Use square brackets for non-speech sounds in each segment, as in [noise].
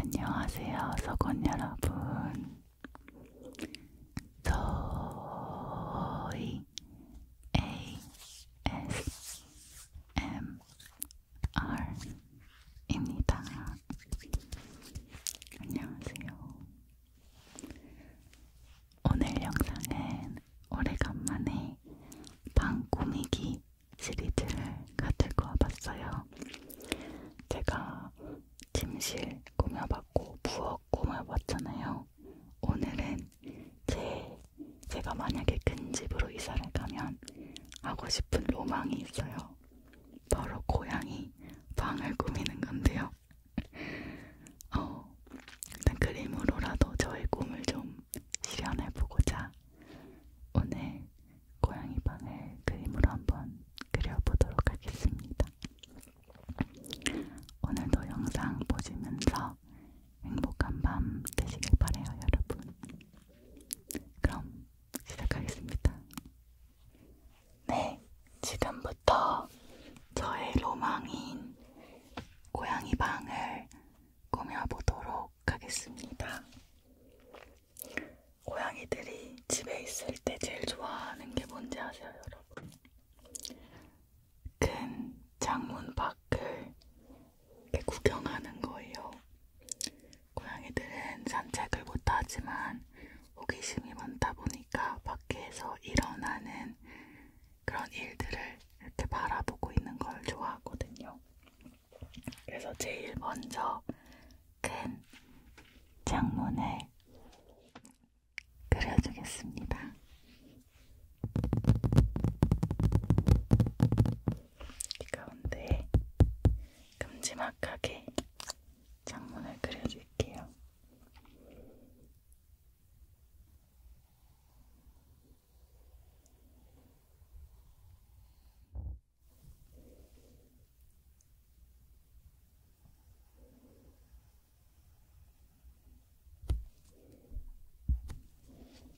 안녕하세요, 서건 여러분. 저희 ASMR ASMR입니다. 안녕하세요. 오늘 영상은 오래간만에 방 꾸미기 시리즈를 가지고 와봤어요. 제가 침실 꾸며봤고 부엌 꾸며봤잖아요. 오늘은 제 제가 만약에 큰 집으로 이사를 가면 하고 싶은 로망이 있어요. 바로 고양이 방을 꾸미는 건데요. [laughs] 어, 일단 그림으로라도 저의 꿈을 좀 실현해보고자 오늘 고양이 방을 그림으로 한번 그려보도록 하겠습니다. 오늘도 영상 보시면서 행복한 밤 되시길 바래요, 여러분. 그럼 시작하겠습니다. 네, 지금부터 저의 로망인 고양이 방을 꾸며보도록 하겠습니다. 고양이들이 집에 있을 때 제일 좋아하는 게 뭔지 아세요, 여러분? 큰 창문 밖을 이렇게 구경하는 거예요. 고양이들은 산책을 못하지만 호기심이 많다 보니까 밖에서 일어나는 그런 일들을 이렇게 바라보고 있는 걸 좋아하거든요. 그래서 제일 먼저 큰 창문을 그려주겠습니다. 이 가운데에 큼지막하게 장문을 그려줄게요.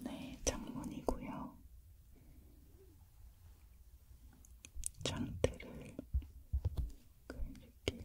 네, 장문이고요. 장대를 그릴게요.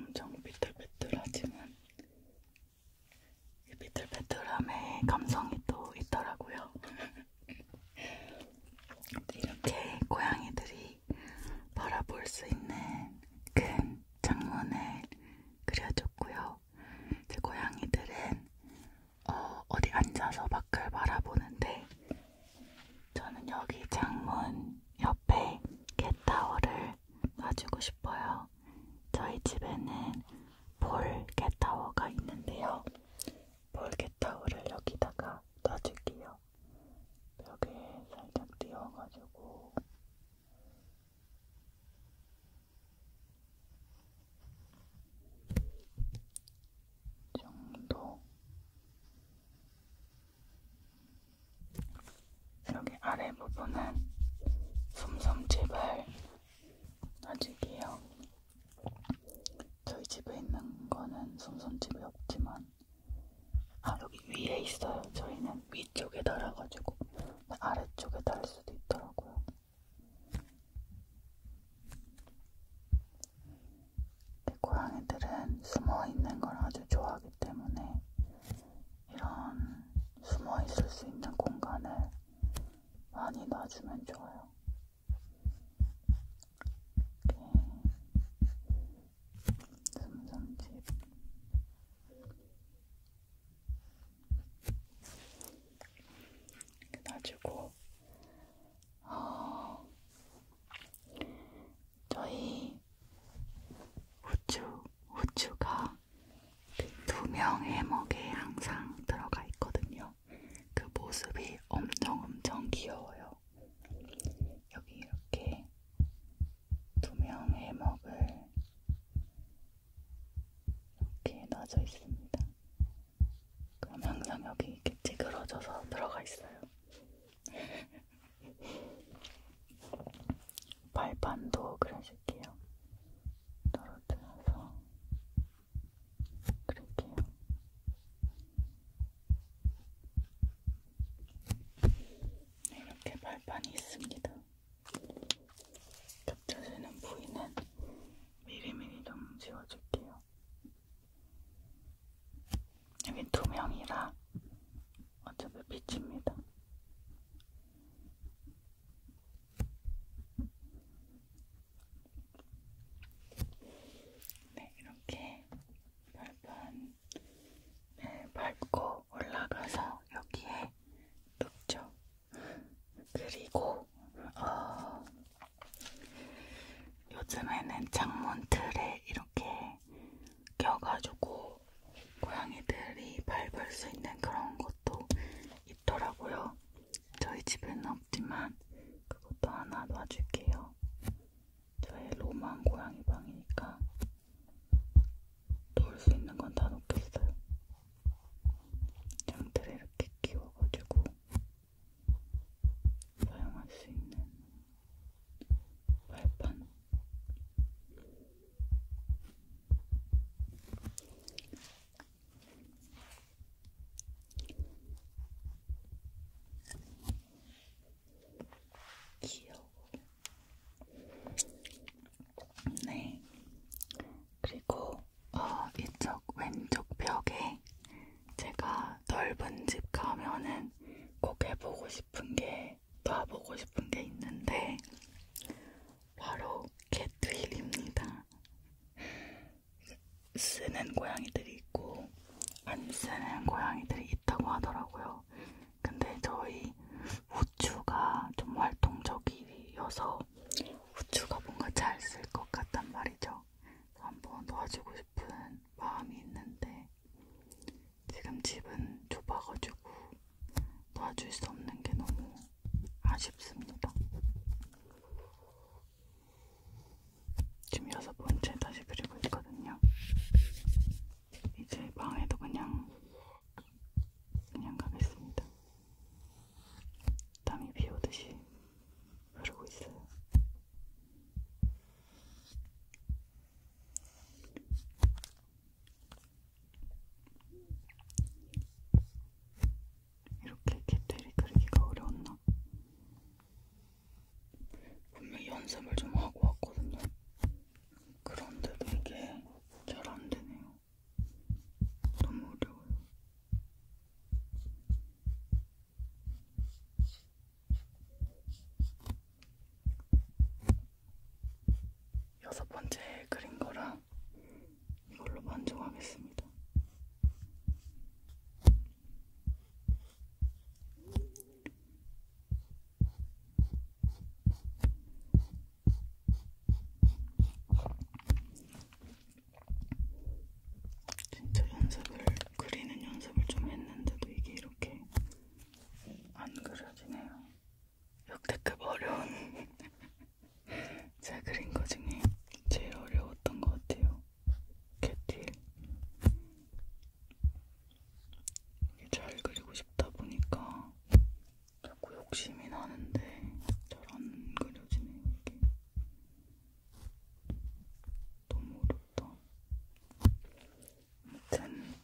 엄청 비틀비틀하지만 이 비틀비틀함의 감성이 또 있더라고요. [laughs] 이렇게 고양이들이 바라볼 수 있는 큰 그 창문을 그려줬고요. 제 고양이들은 어, 어디 앉아서 밖을 바라보는데 저는 여기 창문 옆에 캣타워를 가지고 싶어요. 저희 집에는 볼개타워가 있는데요. 볼개타워를 여기다가 놔줄게요. 벽에 살짝 띄워가지고 정도 여기 아래 부분은 솜솜 제발 놔줄게요. 저희 집에 있는 거는 솜솜 집에 없지만 아 여기 위에 있어요. 저희는 위쪽에 달아가지고 아래쪽에 달 수도 있더라고요. 네, 고양이들은 숨어 있는 걸 아주 좋아하기 때문에 이런 숨어 있을 수 있는 공간을 많이 놔주면 좋아요. 이렇게 삼삼집 이렇게 놔주고 어, 저희 후추, 후추가 두 명 해먹에 항상 들어가 있거든요. 그 모습이 엄청 엄청 귀여워요. 여기 이렇게 두 명 해먹을 이렇게 놔져 있습니다. 그럼 항상 여기 이렇게 찌그러져서 들어가 있어요. [laughs] 발판도 그려줄게요. 떨어뜨려서 그릴게요. 이렇게 발판이 있습니다. 겹쳐지는 부위는 미리미리 좀 지워줄게요. 여긴 투명이라 어차피 빛입니다. 네, 이렇게 별판을 네, 밟고 올라가서 여기에 눕죠. 그리고 어, 요즘에는 창문 틀에 이렇게 껴가지고 고양이들이 밟을 수 있는 그런 것도 있더라고요. 저희 집에는 없지만 그것도 하나 놔줄게요. 저의 로망 고양이 방이니까 놓을 수 있는 건 다 놓겠어요. 장들을 이렇게 끼워가지고 사용할 수 있는 발판 귀여워. 네. 그리고 어, 이쪽 왼쪽 벽에 제가 넓은 집 가면은 꼭 해보고 싶은 게 봐보고 싶은 게 있는데 바로 캣휠입니다. 쓰는 고양이들이 있고 안 쓰는 고양이들이 있다고 하더라고요. 근데 저희 우추가 좀 활동적이어서 우추가 뭔가 잘 쓸 것 같단 말이죠. 한번 도와주고 싶은 마음이 있는데 지금 집은 좁아가지고 놔줄 수 없는 게 너무 아쉽습니다. 지금 여섯 번째 다시 그리고 있거든요. 이제 방에도 그냥 그냥 가겠습니다. 땀이 비 오듯이 흐르고 있어요. 이렇게 깃털이 그리기가 어려웠나? 분명히 연습을 좀 하고 왔거든요. 그런데도 이게 잘 안 되네요. 너무 어려워요. 여섯 번째 그린 거랑 이걸로 만족하겠습니다. 진짜 연습을 그리는 연습을 좀 했는데도 이게 이렇게 안 그려지네요. 역대급 어려운 제가 [laughs] 그린 거 중에 제일 어려웠던 것 같아요. 개띠 잘 그리고 싶다 보니까 자꾸 욕심이 나는데 잘안 그려지네요. 이게 너무 어렵다. 아무튼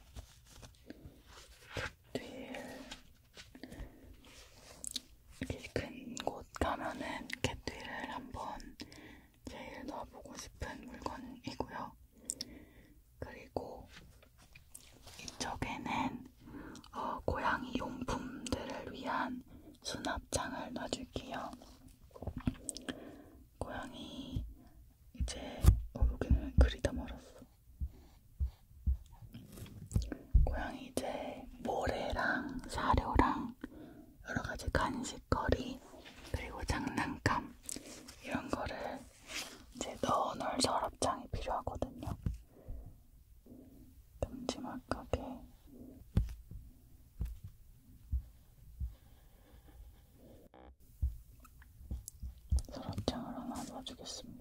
캣듀일 큰곳 가면은 캣듀일을 한번 제일 넣어보고 싶은 물건이고요. 그리고 이쪽에는 어, 고양이 용품들을 위한 수납장을 놔줄게요. 고양이 이제 어, 여기는 그리다 말았어. 고양이 이제 모래랑 사료랑 여러가지 간식거리 그리고 장난감 이런 거를 이제 넣어놓을 서랍장이 필요하거든요. 큼지막하게 서랍장을 하나 넣어주겠습니다.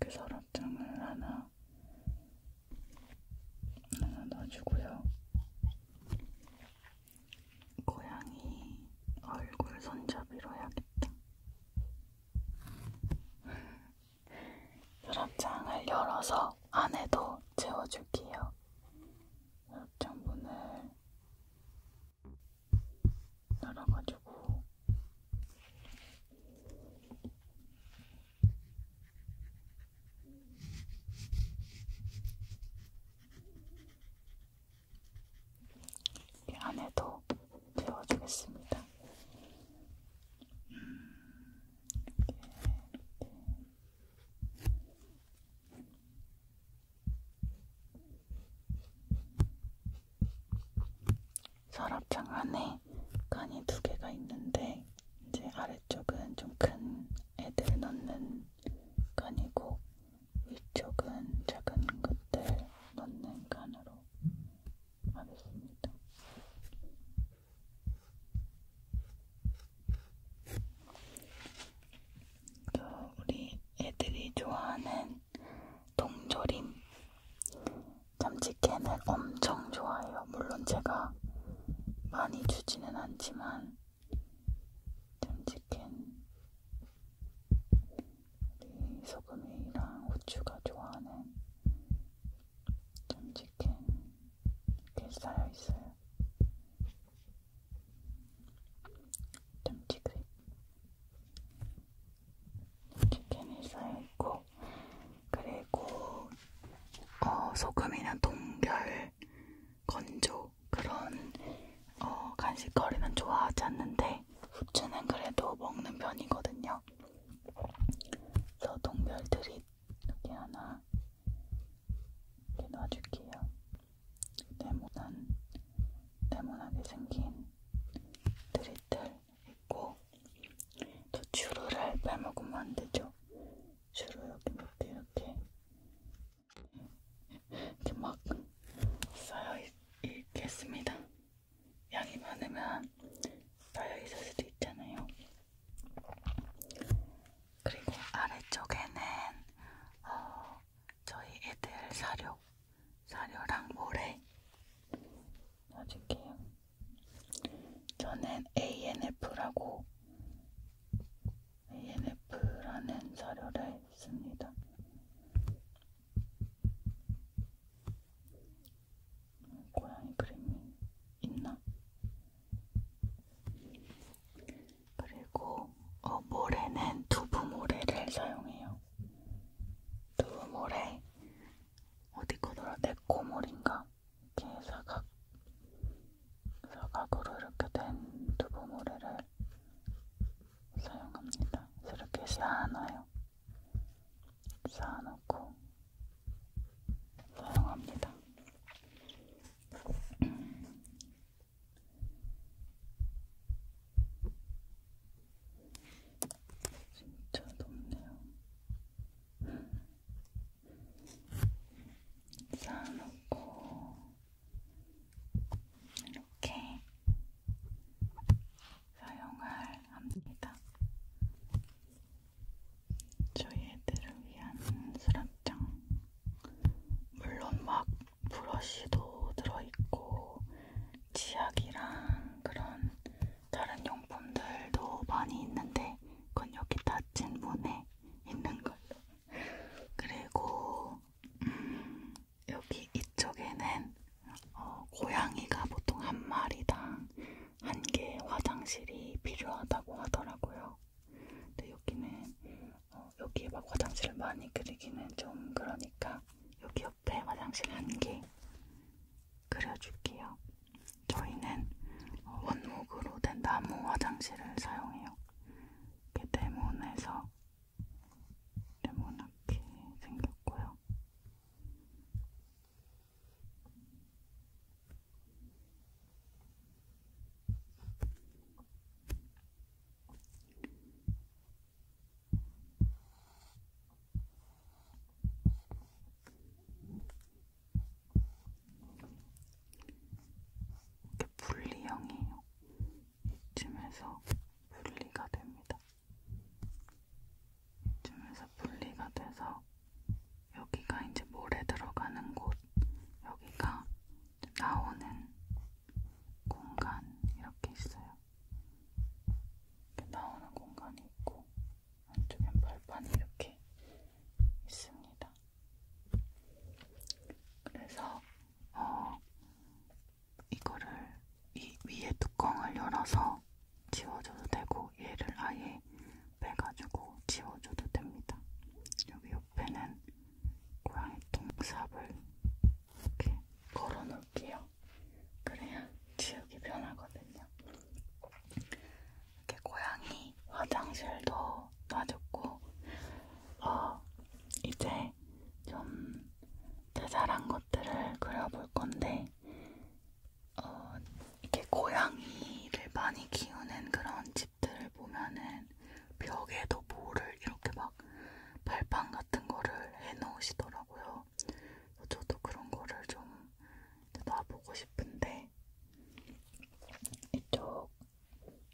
이렇게 서랍장을 하나 하나 넣어주고요. 고양이 얼굴 손잡이로 해야겠다. 서랍장을 열어서 안에도 채워줄게요. 서랍장 문을 열어가지고 이 안에도 채워주겠습니다. 서랍장 안에 칸이 두 개가 있는데 이제 아래쪽은 좀 큰 애들 넣는 칸이고 위쪽은 작은 것들 넣는 칸으로 하겠습니다. 또 그 우리 애들이 좋아하는 동조림 참치캔을 엄청 좋아해요. 물론 제가 많이 주지는 않지만 참치캔 우리 소금이랑 후추가 좋아하는 참치캔 이렇게 쌓여 있어요. 참치그릇 치킨이 쌓여있고 그리고 어, 소금이나 동결, 건조 그런 어, 간식거리는 좋아하지 않는데 후추는 그래도 먹는 편이거든요. 그래서 동별들이 이렇게 하나 이렇게 놔줄게요. 네모난 네모나게 생긴 드리들 있고 또 주루를 빼먹으면 안 되죠. 주루 여기 밑에 이렇게 이렇게 막 쌓여 있, 있겠습니다. 양이 많으면 쌓여 있을 수도 있잖아요. 그리고 아래쪽에는 어, 저희 애들 사료, 사료랑 모래 넣어줄게요. 저는 ANF라고 ANF라는 자료를 씁니다. 고양이 그림이 있나? 그리고 어, 모래는 두부 모래를 사용해요. 두부 모래 어디 거더라? 내 코몰인가? 이렇게 사각, 사각으로 이렇게 된 두부모래를 사용합니다. 이렇게 쌓아놔요. 쌓아놓고 사용합니다. [clears throat] 진짜 높네요. 쌓아놓고 이렇게 사용할 합니다. 저희 애들을 위한 수납장. 물론 막 브러쉬도 들어있고, 치약이랑 그런 다른 용품들도 많이 있는데 그건 여기 닫힌 문에 있는 걸로. 그리고 음, 여기 이쪽에는 어, 고양이가 보통 한 마리당 한 개 화장실이 필요하다고 하더라고요. 근데 여기는 어, 여기에 막 화장실을 많이 그리기는 좀 그러니까 여기 옆에 화장실 한 개, 그려줄게요. 저희는 원목으로 된 나무 화장실을 사용해요. 이렇게 네모나서 네모나게 생겼고요. 이렇게 분리형이에요. 이쯤에서 분리가 됩니다. 이쯤에서 분리가 돼서 여기가 이제 모래 들어가는 곳, 여기가 나오는 공간 이렇게 있어요. 이렇게 나오는 공간이 있고 한쪽엔 발판이 이렇게 있습니다. 그래서 어, 이거를 이 위에 뚜껑을 열어서 지워줘도 되고 얘를 아예 빼가지고 지워줘도 됩니다. 여기 옆에는 고양이 똥삽을 이렇게 걸어놓을게요. 그래야 지우기 편하거든요. 이렇게 고양이 화장실도 놔줬고, 어, 이제 좀 자잘한 것들을 그려볼 건데, 어, 이렇게 고양이를 많이 키우는 그런 집들을 보면은 벽에도 모를 이렇게 막 발판 같은 거를 해놓으시더라고요. 있어서 저도 그런 거를 좀 놔보고 싶은데 이쪽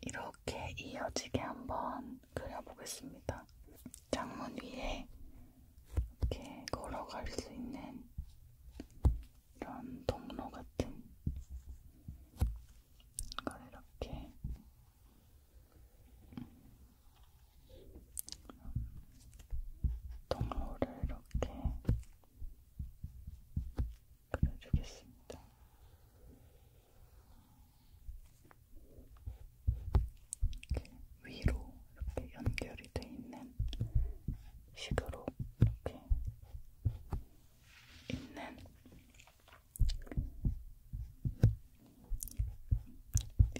이렇게 이어지게 한번 그려보겠습니다. 창문 위에 이렇게 걸어갈 수 있는 이런 동로 같은 걸 이렇게 동로를 이렇게 그려주겠습니다. 이렇게 위로 이렇게 연결이 돼 있는 식으로 이렇게 있는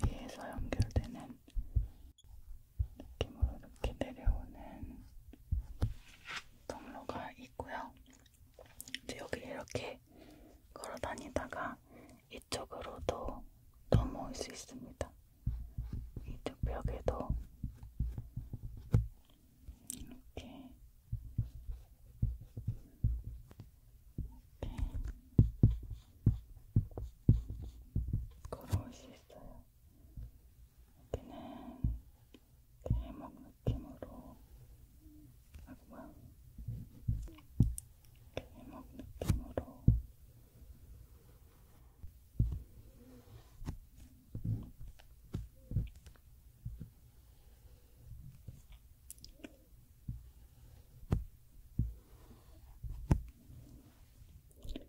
위에서 연결되는 느낌으로 이렇게 내려오는 통로가 있고요. 이제 여기 이렇게 걸어 다니다가 이쪽으로도 넘어올 수 있습니다. 이쪽 벽에도 이렇게 이렇게 걸어올 수 있어요. 여기는 해먹 느낌으로 하고요. 해먹 느낌으로 이렇게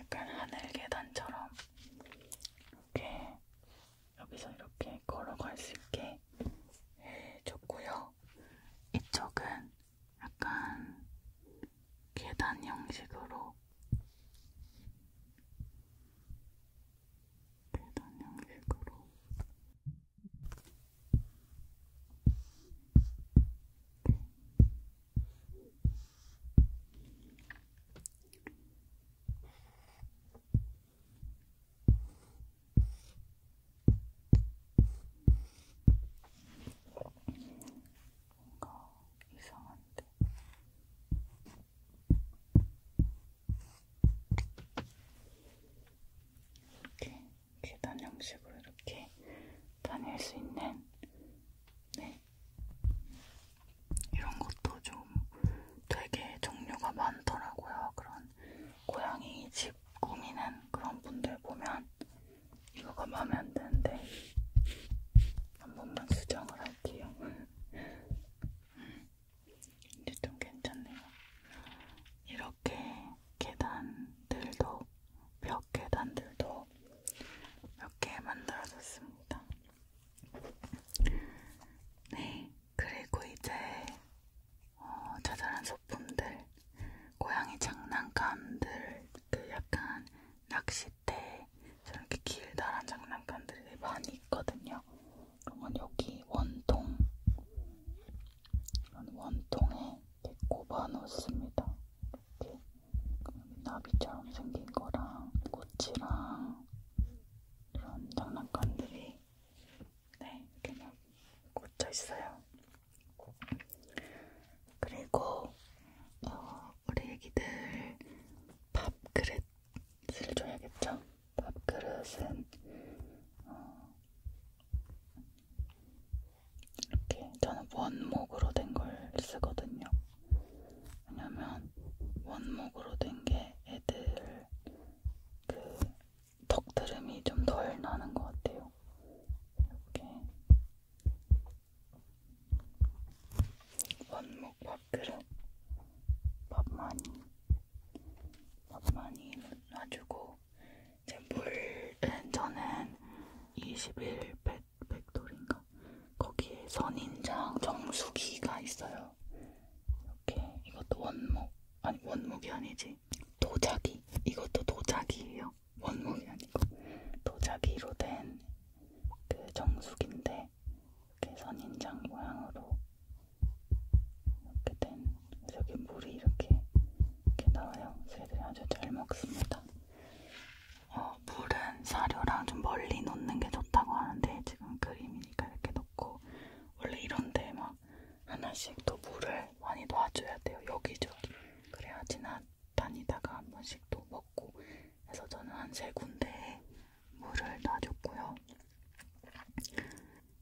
약간 하늘 계단처럼 이렇게 여기서 이렇게 걸어갈 수 있게 해줬고요. 이쪽은 약간 계단 형식으로 계단 형식으로 뭔가 이상한데. 이렇게 계단 형식으로 이렇게 다닐 수 있는 네 이런 것도 좀 되게 종류가 많더라고요. 그런 고양이 집 꾸미는 그런 분들 보면 이거가 마음에 안 드는데 한 번만 수정을 할게요. [laughs] 음. 이제 좀 괜찮네요. 이렇게 계단들도, 벽 계단들도 몇 개 만들어졌습니다. 네, 그리고 이제 어, 자잘한 소품들, 고양이 장난감들, 그 약간 낚싯대, 저렇게 길다란 장난감들이 많이 있거든요. 그러면 여기 원통 이런 원통에 이렇게 꼽아 놓습니다. 이렇게 나비처럼 생긴 거랑 꽃이랑 이런 장난감들이 네 이렇게 막 꽂혀 있어요. 그리고 어, 우리 애기들 밥그릇을 줘야겠죠? 밥그릇은 어, 이렇게 저는 원목으로 된 걸 쓰거든요. 왜냐면 원목으로 된 게 애들 그 덕드름이 좀 덜 나는 것 같아요. 이렇게 원목 밥그릇 밥 많이 밥 많이 놔주고 이제 물은 저는 21 백, 백돌인가? 거기에 선인장 정수기가 있어요. 이렇게 이것도 원목 아니 원목이 아니지 도자기 이것도 도자기예요. 원목이 아니고 도자기로 된 그 정수기인데 이렇게 선인장 모양으로 이렇게 된 저기 물이 이렇게 이렇게 나와요. 새들이 아주 잘 먹습니다. 어, 물은 사료랑 좀 멀리 놓는 게 좋다고 하는데 지금 그림이니까 이렇게 놓고 원래 이런데 막 하나씩 또 물을 많이 놔줘야 돼요. 여기저기. 그래야 지나다니다가 한 번씩 또 먹고 해서 저는 한 세 군데에 물을 놔줬고요.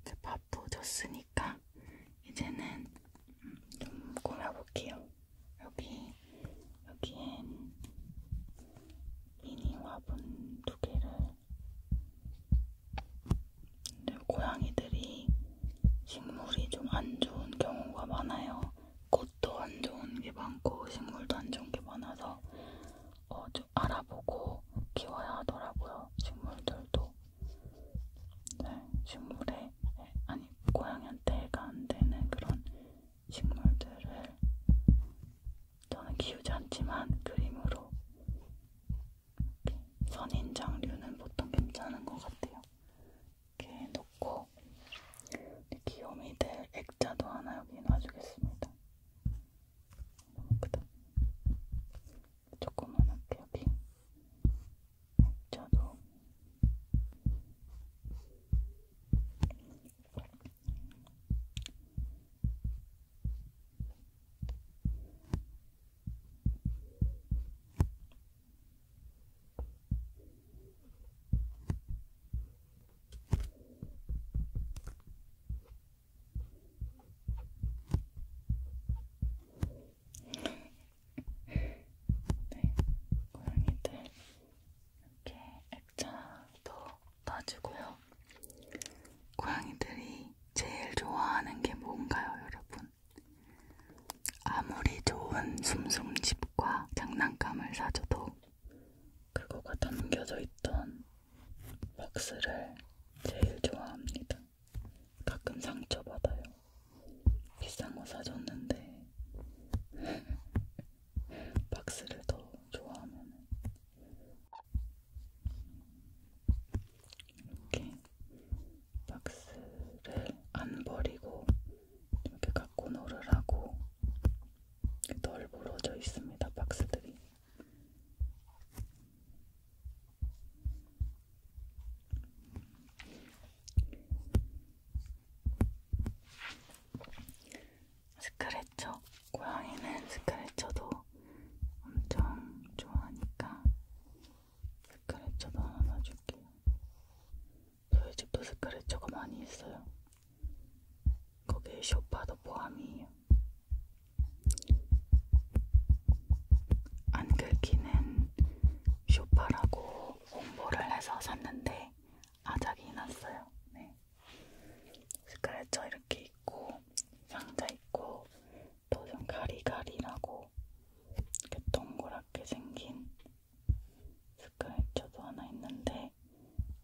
이제 밥도 줬으니까 이제는 좀 꾸며볼게요. 여기 여기엔 미니 화분 두 개를 근데 고양이들이 식물이 좀 안 좋은 경우가 많아요. 꽃도 안 좋은 게 많고 식물도 안 좋은 게 많아서 어, 좀 알아보고 키워야 하더라고요. 식물들도 네, 식물에 아니 고양이한테가 안 되는 그런 식물들을 저는 키우지 않지만 그림으로 이렇게 선인장류는 보통 괜찮은 것 같아요. 이렇게 놓고 귀요미들 액자도 하나 여기 놔주겠습니다. 너무 크다. 조그만한 벽이 저도 네, 고양이들 이렇게 액자도 따지고요. 고양이들이 제일 좋아하는 게 뭔가요, 여러분? 아무리 좋은 숨숨집과 장난감을 사줘도 그거가 담겨져 있던 박스를 제일 좋아합니다. 가끔 상처받아요. 비싼 거 사줬는데 [laughs] 박스를 더 좋아하면 이렇게 박스를 안 버리고 이렇게 갖고 놀으라고 널 부러져 있습니다. 박스들이 스크래쳐 고양이는 스크래쳐도 엄청 좋아하니까 스크래쳐도 하나 놔줄게요. 저희 집도 스크래쳐가 많이 있어요. 거기에 쇼파도 포함이에요. 안 긁히는 쇼파라고 홍보를 해서 샀는데 아작이 났어요. 네. 스크래쳐 이렇게 있고 상자 있고 또 좀 가리가리라고 이렇게 동그랗게 생긴 스크래쳐도 하나 있는데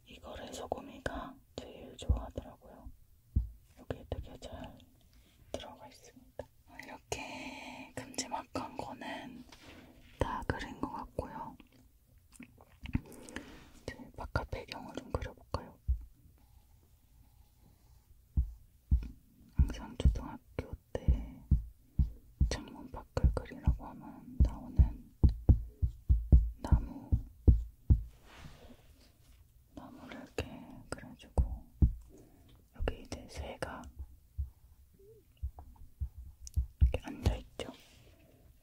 이거를 소금이가 제일 좋아하더라고요. 여기에 되게 잘 들어가 있습니다. 이렇게 큼지막한 거는 다 그린 것 같고요. 이제 바깥 배경을 좀 그려볼까요? 항상 초등학교 때 창문 밖을 그리라고 하면 나오는 나무 나무를 이렇게 그려주고 여기 이제 새가 이렇게 앉아있죠.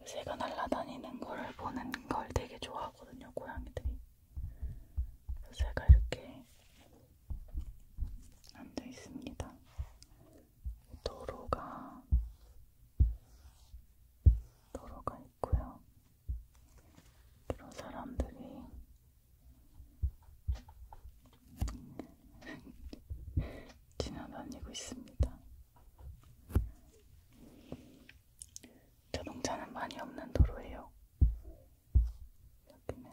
새가 날아다니는 걸 보는 걸 되게 좋아하거든요, 고양이들이. 새가 이렇게 앉아있습니다. 도로가 도로가 있고요. 이런 사람들이 지나다니고 있습니다. 자동차는 많이 없는 도로예요. 여기는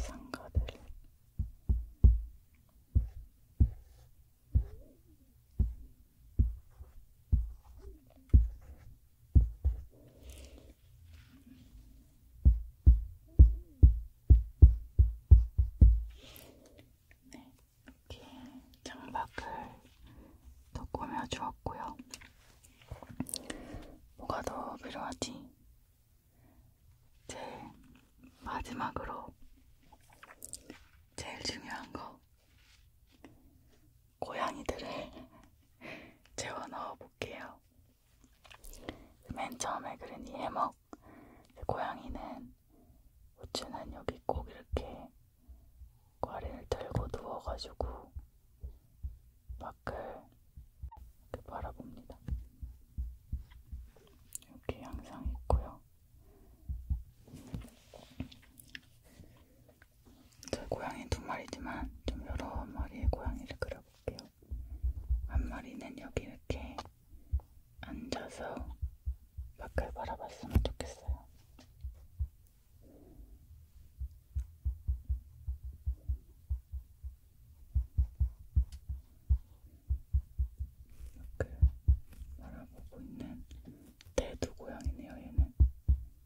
상가들. 네, 이렇게 장박을 더 꾸며 주었고요. 뭐가 더 필요하지? 제 마지막으로 제일 중요한 거 고양이들을 [laughs] 재워 넣어 볼게요. 맨 처음에 그린 이 해먹 그 고양이는 우주는 여기 꼭 이렇게 과리를 들고 누워가지고 밖을 이렇게 바라봅니다. 이렇게 항상 있고요. 저 고양이 두 마리지만 좀 여러 마리의 고양이를 그려볼게요. 올릴게요. 한 마리는 여기 이렇게 앉아서 밖을 바라봤으면 좋겠어요. 이렇게 바라보고 있는 대두 고양이네요. 얘는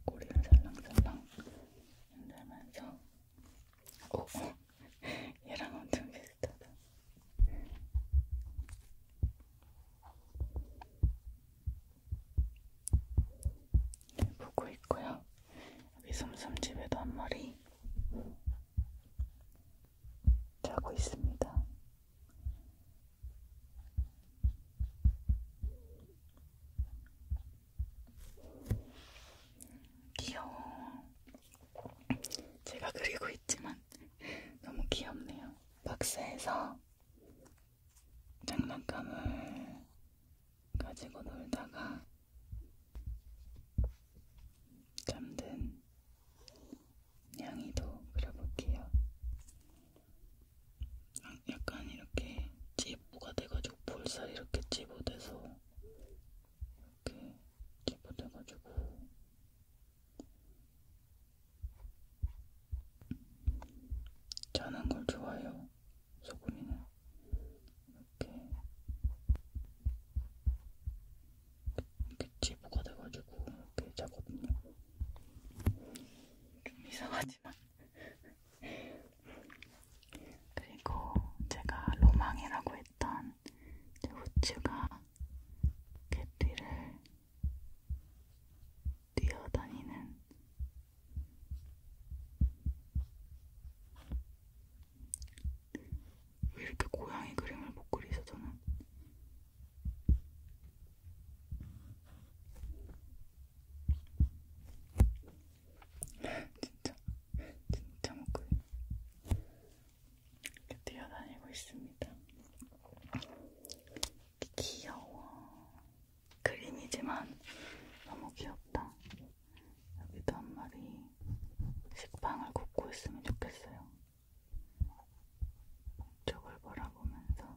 꼬리를 살랑살랑 흔들면서 오, 어. 얘랑 엄청 비슷하다. 네, 보고 있고요. 여기 섬섬집에도 한 마리 자고 있습니다. 귀여워. 제가 그리고 있지만 [laughs] 너무 귀엽네요. 박스에서 장난감을 가지고 놀다가 잠든 냥이도 그려볼게요. 아, 약간 이렇게 찌부가 돼가지고 볼살이 이렇게 찌부돼서 이렇게 기포돼가지고 짜는 걸 좋아해요. 소금이는 이렇게 이렇게 지부가 돼가지고 이렇게 짜거든요. 좀 이상하지만. 그리고 제가 로망이라고 했던 제 후추가 갯뒤를 뛰어다니는 왜 이렇게 고양이 그림을 못 그리죠 저는 진짜 진짜 먹고 이렇게 뛰어다니고 있습니다. 귀여워. 그림이지만 너무 귀엽다. 여기도 한 마리 식빵을 굽고 있으면 좋겠어요. 이쪽을 바라보면서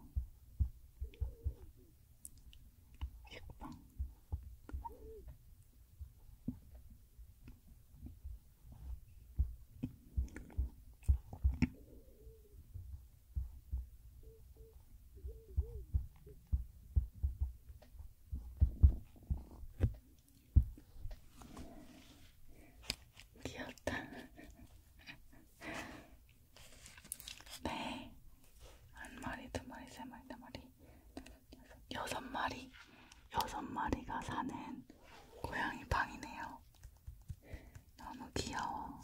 식빵 귀엽다. [laughs] 네, 한 마리, 두 마리, 세 마리, 네 마리, 여섯 마리, 여섯 마리가 사는 고양이 방이네요. 너무 귀여워.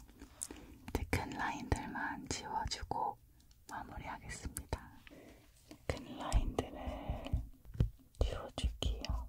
이제 큰 라인들만 지워주고 마무리하겠습니다. 큰 라인들을 지워줄게요.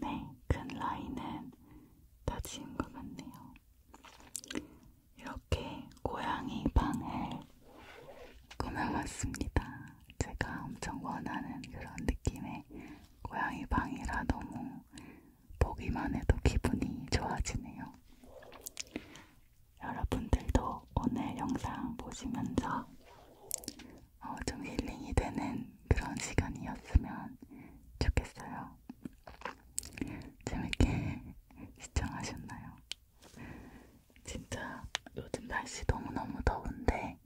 네, 큰 라인은 다 지은 것 같네요. 이렇게 고양이 방을 꾸며봤습니다. 제가 엄청 원하는 그런 느낌의 고양이 방이라 너무 보기만 해도 기분이 좋아지네요. 여러분들도 오늘 영상 보시면서 어, 좀 힐링이 되는 그런 시간이었으면 좋겠어요. 재밌게 [laughs] 시청하셨나요? 진짜 요즘 날씨 너무너무 더운데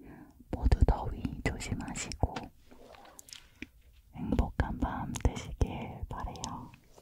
모두 더위 조심하시고 행복한 밤 되시길 바래요.